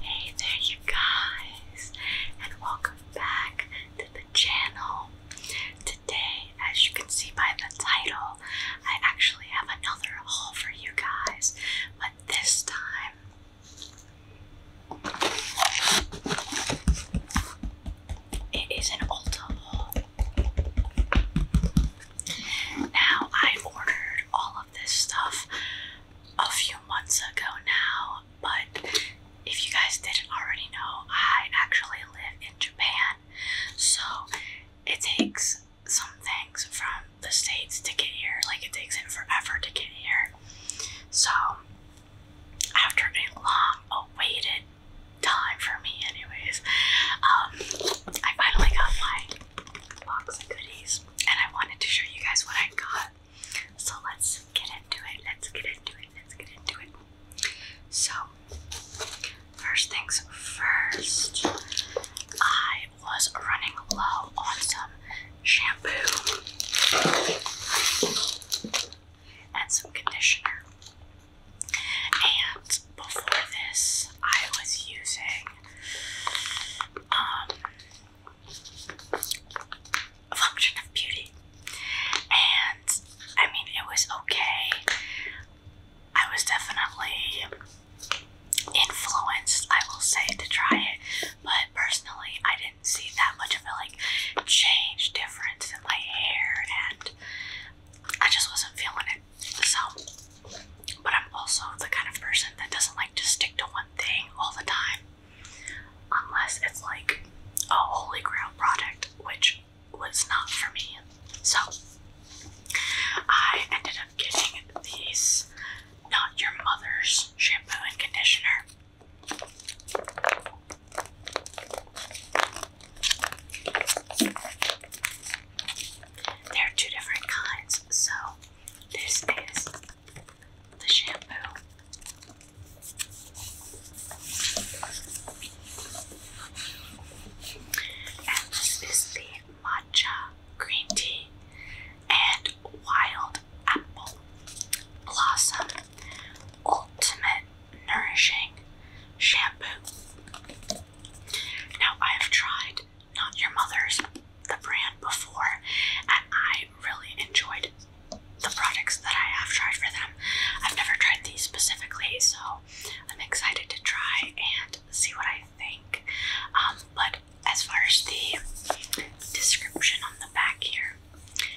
Hey there, you guys, and welcome back to the channel. Today, as you can see by the title, I actually have another haul for you guys, but this time. It is an Ulta haul. Now, I ordered all of this stuff a few months ago now, but if you guys didn't already know, I actually live in Japan, so it takes some things from the States to get here, like it takes it forever to get here. So, after a long awaited time for me, anyways, um, I finally got my box of goodies, and I wanted to show you guys what I got. So let's get into it. Let's get into it. Let's get into it. So, first things first, I was running low on some shampoo and some conditioner. And before this I was using um Function of Beauty and I mean it was okay. I was definitely influenced, I will say, to try it, but personally I didn't see that much of a like change difference in my hair and I just wasn't feeling it. So, but I'm also the kind of person that doesn't like to stick to one thing all the time unless it's like a holy grail product, which was not for me. So, I ended up getting these Not Your Mother's shampoo and conditioner. There are two different kinds. So, this is the shampoo. And this is the matcha green tea and wild apple blossom ultimate nourishing shampoo. Now I have tried not your mother's, the brand before, and I really enjoyed the products that I have tried for them. I've never tried these specifically, so I'm excited to try and see what I think. Um, but as far as the description on the back here,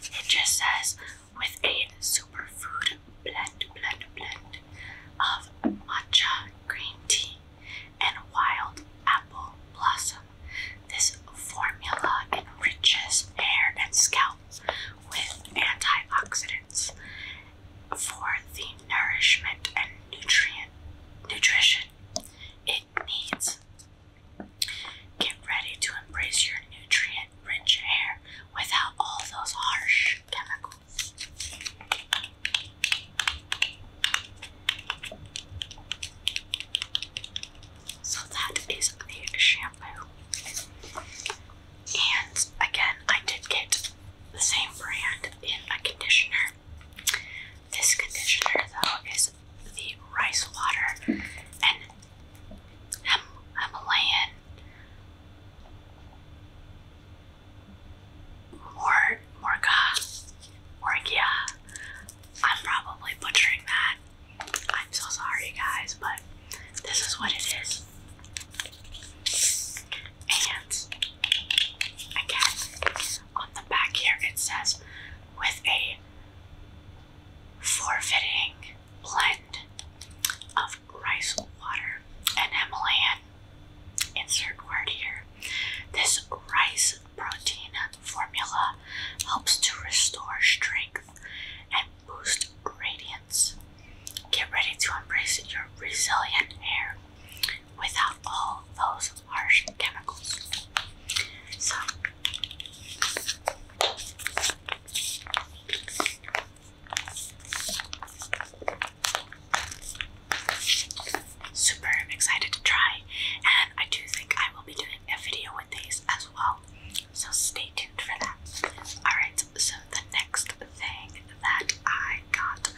it just says with a superfood blend, blend, blend of matcha green tea and wild apple blossom. This formula enriches hair and scalp with antioxidants for the nourishment and nutrient nutrition it needs. Get ready to embrace your nutrient rich hair without all those harsh chemicals. So that is the shampoo. And again, I did get the same brand in a conditioner. This conditioner, though, is the rice water and Himalayan Morga, Morgia. I'm probably butchering that. I'm so sorry, guys, but this is what it is. And again, on the back here it says with a forfeiting blend of rice water and Himalayan insert word here. This rice protein formula helps to restore strength and boost radiance. Get ready to embrace your resilient hair without all those harsh chemicals. So Super excited to try, and I do think I will be doing a video with these as well, so stay tuned for that. Alright, so the next thing that I got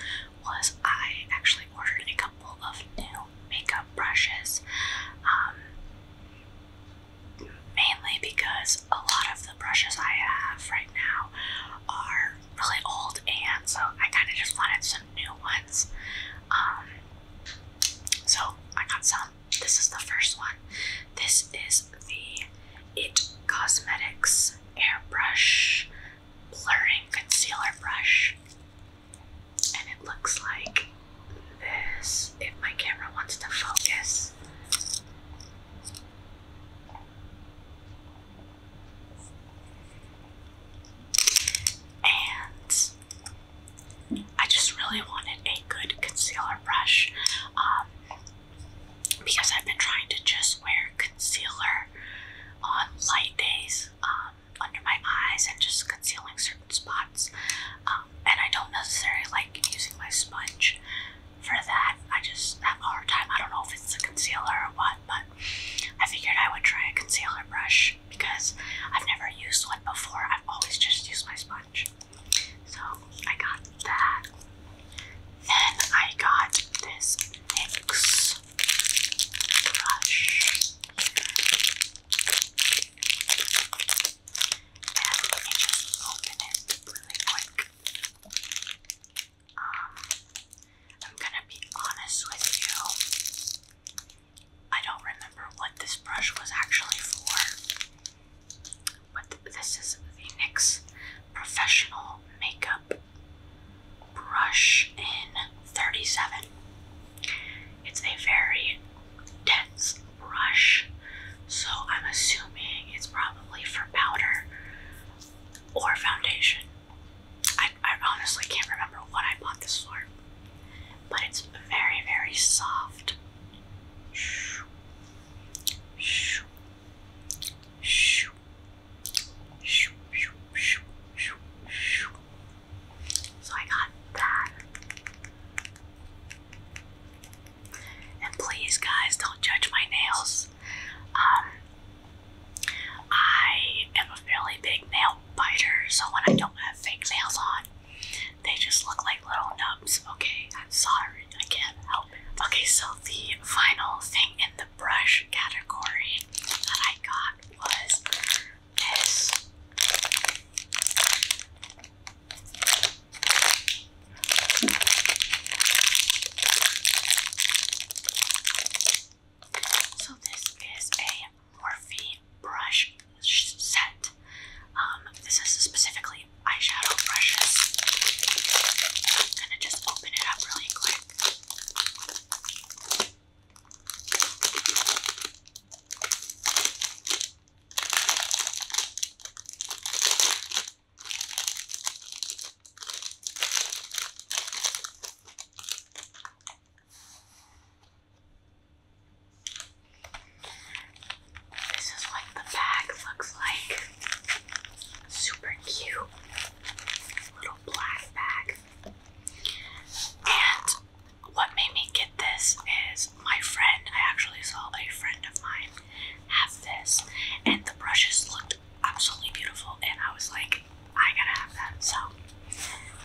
was I actually ordered a couple of new makeup brushes, um, mainly because a lot of the brushes I have right now are really old, and so I kind of just wanted some new ones. Um, so I got some. This is the first one. This is the It Cosmetics Airbrush Blurring Concealer Brush, and it looks like this. If my camera wants to focus. And I just really wanted a good concealer brush um, because I've been trying to just wear concealer on light days um, under my eyes and just concealing certain spots. Um, and I don't necessarily like using my sponge for that. I just have a hard time. I don't know if it's a concealer or what, but I figured I would try a concealer brush because I've never used one before. I've always just used my sponge. So I got that. Then I got this NYX brush. let me just open it really quick. Um, I'm gonna be honest with you. I don't remember what this brush was actually for, but this is the NYX Professional Makeup Brush in 37. It's a very dense brush, so I'm assuming it's probably for powder or foundation. I, I honestly can't remember what I bought this for, but it's very, very soft. So I got that. And please, guys, don't judge my nails. Um, I am a fairly big nail biter, so when I don't have fake nails on, they just look like little nubs. Okay, I'm sorry, I can't help it. Okay, so the final thing in the brush category that I got was this. So this is a Morphe brush set. Um, this is specifically eyeshadow brushes. i just open it up really quick. This is what the bag looks like. Super cute little black bag. And what made me get this is my friend, I actually saw a friend of mine have this. And the brushes looked absolutely beautiful, and I was like, I gotta have that. So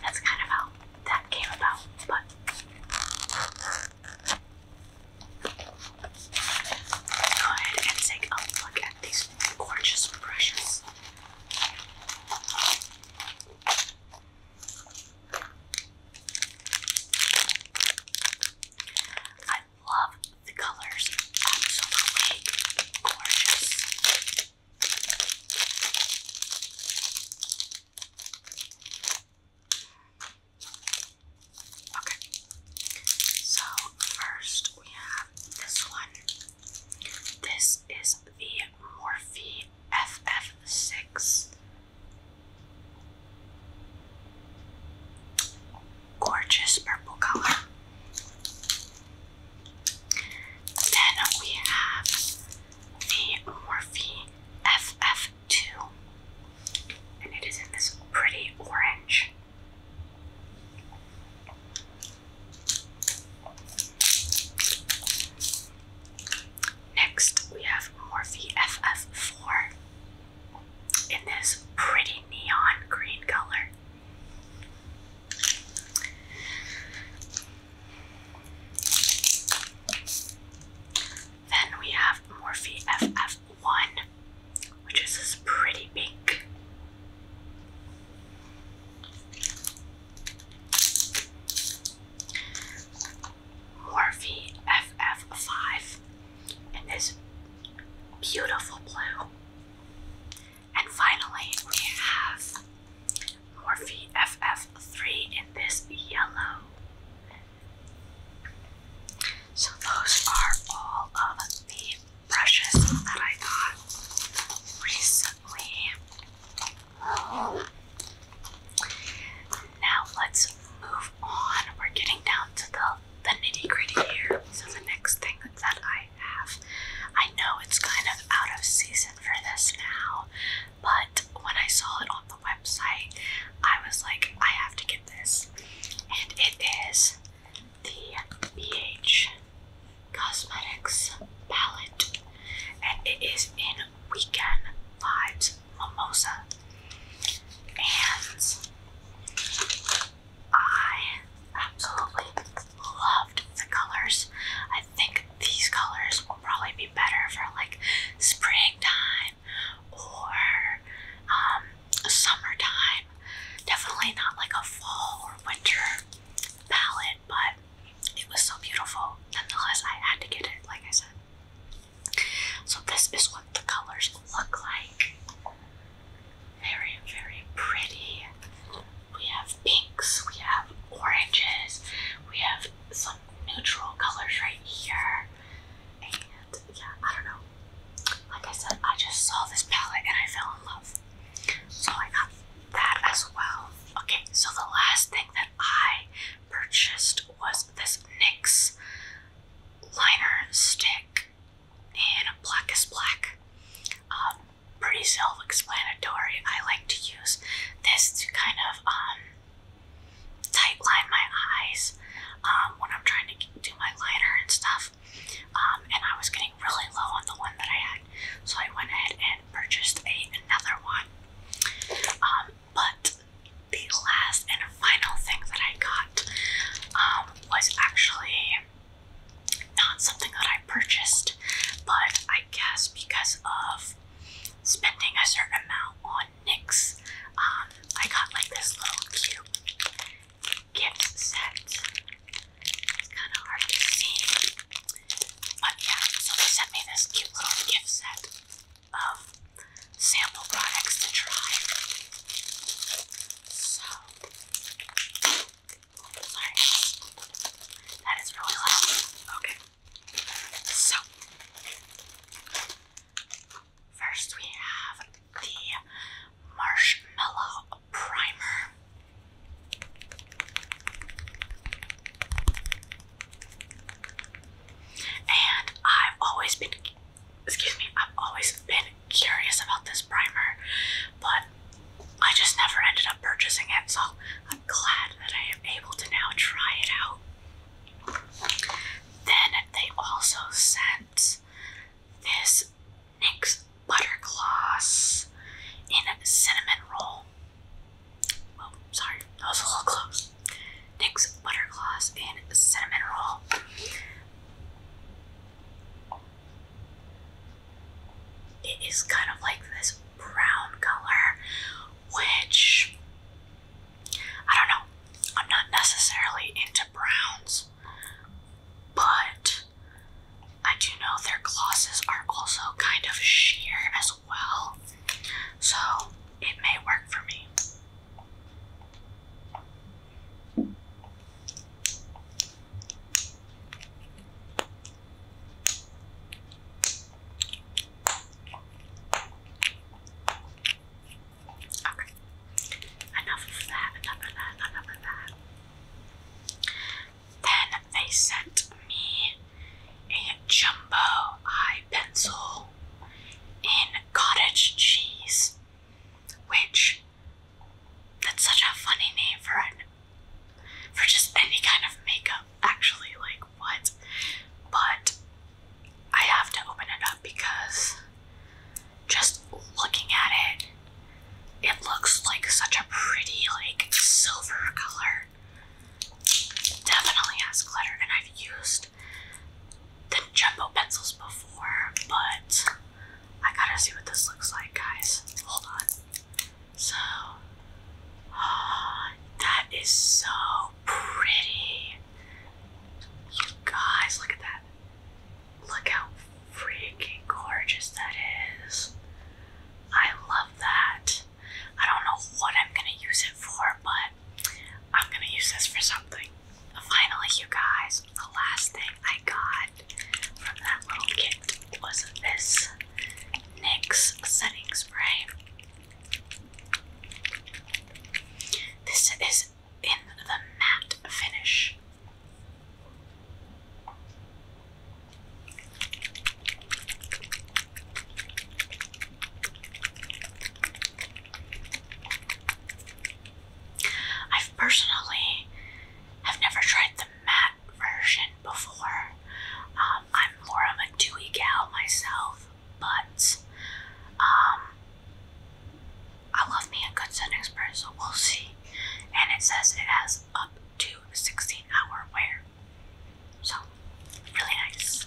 that's kind of how that came about. But go ahead and take a look at these gorgeous brushes love the colors. Absolutely gorgeous. Okay. So first we have this one. This is the Morphe FF6 gorgeous purple color. Then we have the Morphe FF2, and it is in this pretty orange. Next, we have Morphe FF4, in this pretty neon green color. Then we have Morphe FF1, which is this pretty pink. Morphe FF5, in this beautiful blue. And finally, we have Morphe FF3 in this yellow. So, those are all of the brushes that I got recently. Now, let's move on. We're getting down to the the nitty gritty here. So the next thing that I have, I know it's kind of out of season for this now, but when I saw it on the website, I was like, I have to get this. And it is the BH Cosmetics palette, and it is in Weekend Vibes Mimosa. And I absolutely loved the colors. I think these colors will probably be better for like springtime or um, summertime. Definitely not like a fall or winter palette, but it was so beautiful. Nonetheless, I had to get it, like I said. So, this is what the colors look like. Very, very pretty. We have pinks, we have oranges, we have some neutral colors right here. And yeah, I don't know. Like I said, I just saw this palette and I fell in love. So I got that as well. Okay, so the last thing that I purchased was this NYX liner stick and black is black. Um, pretty self-explanatory. I like to use this to kind of um, my eyes um, when I'm trying to do my liner and stuff. Um, and I was getting really low on the one that I had, so I went ahead and purchased a, another one. but the last and final thing that I got was actually not something that I purchased, but I guess because of spending a certain amount on NYX, um, I got like this little cute gift set. It's kind of hard to see. But yeah, so they sent me this cute little gift set of sample products to try. So that is really loud. Okay. So, first we have the Marshmallow Primer. And I've always been excuse me, I've always been curious about this primer, but I just never ended up purchasing it, so I'm glad that I am able to now try it out. Then they also sent this NYX Butter Gloss in Cinnamon Roll. Oh, sorry, that was a little close. NYX Butter Gloss in Cinnamon Roll. It is kind of like this brown color, which I don't know. I'm not necessarily into browns, but I do know their glosses are also kind of sheer as well, so it may work for me. Okay. Enough of that, enough of that, enough of that. Then they sent me a jumbo eye pencil in cottage cheese, which that's such a funny name for an, for just any kind of makeup, actually, like what? But I have to open it up because just looking at it, it looks like such a pretty, like silver color. definitely has glitter, and I've used the jumbo pencils before, but I gotta see what this looks like, guys. Hold on. So, ah, that is so pretty. You guys, look at that. Look how freaking gorgeous that is. I love that. I don't know what I'm gonna use it for, but I'm gonna use this for something. Finally, you guys, the last thing I got from that little kit was this NYX setting spray. This is in the matte finish. I've personally have never tried the matte version before. Um, I'm more of a dewy gal myself, but um, I love me a good sun espresso. We'll see. And it says it has up to 16 hour wear, so really nice.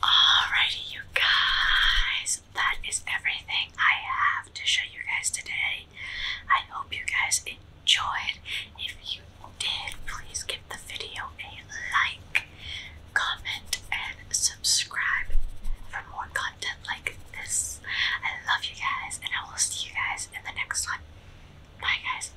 Alrighty, you guys, that is everything I have to show you guys today. I hope you guys enjoyed. If you did, please give the video a like, comment, and subscribe for more content like this. I love you guys, and I will see you guys in the next one. Bye, guys.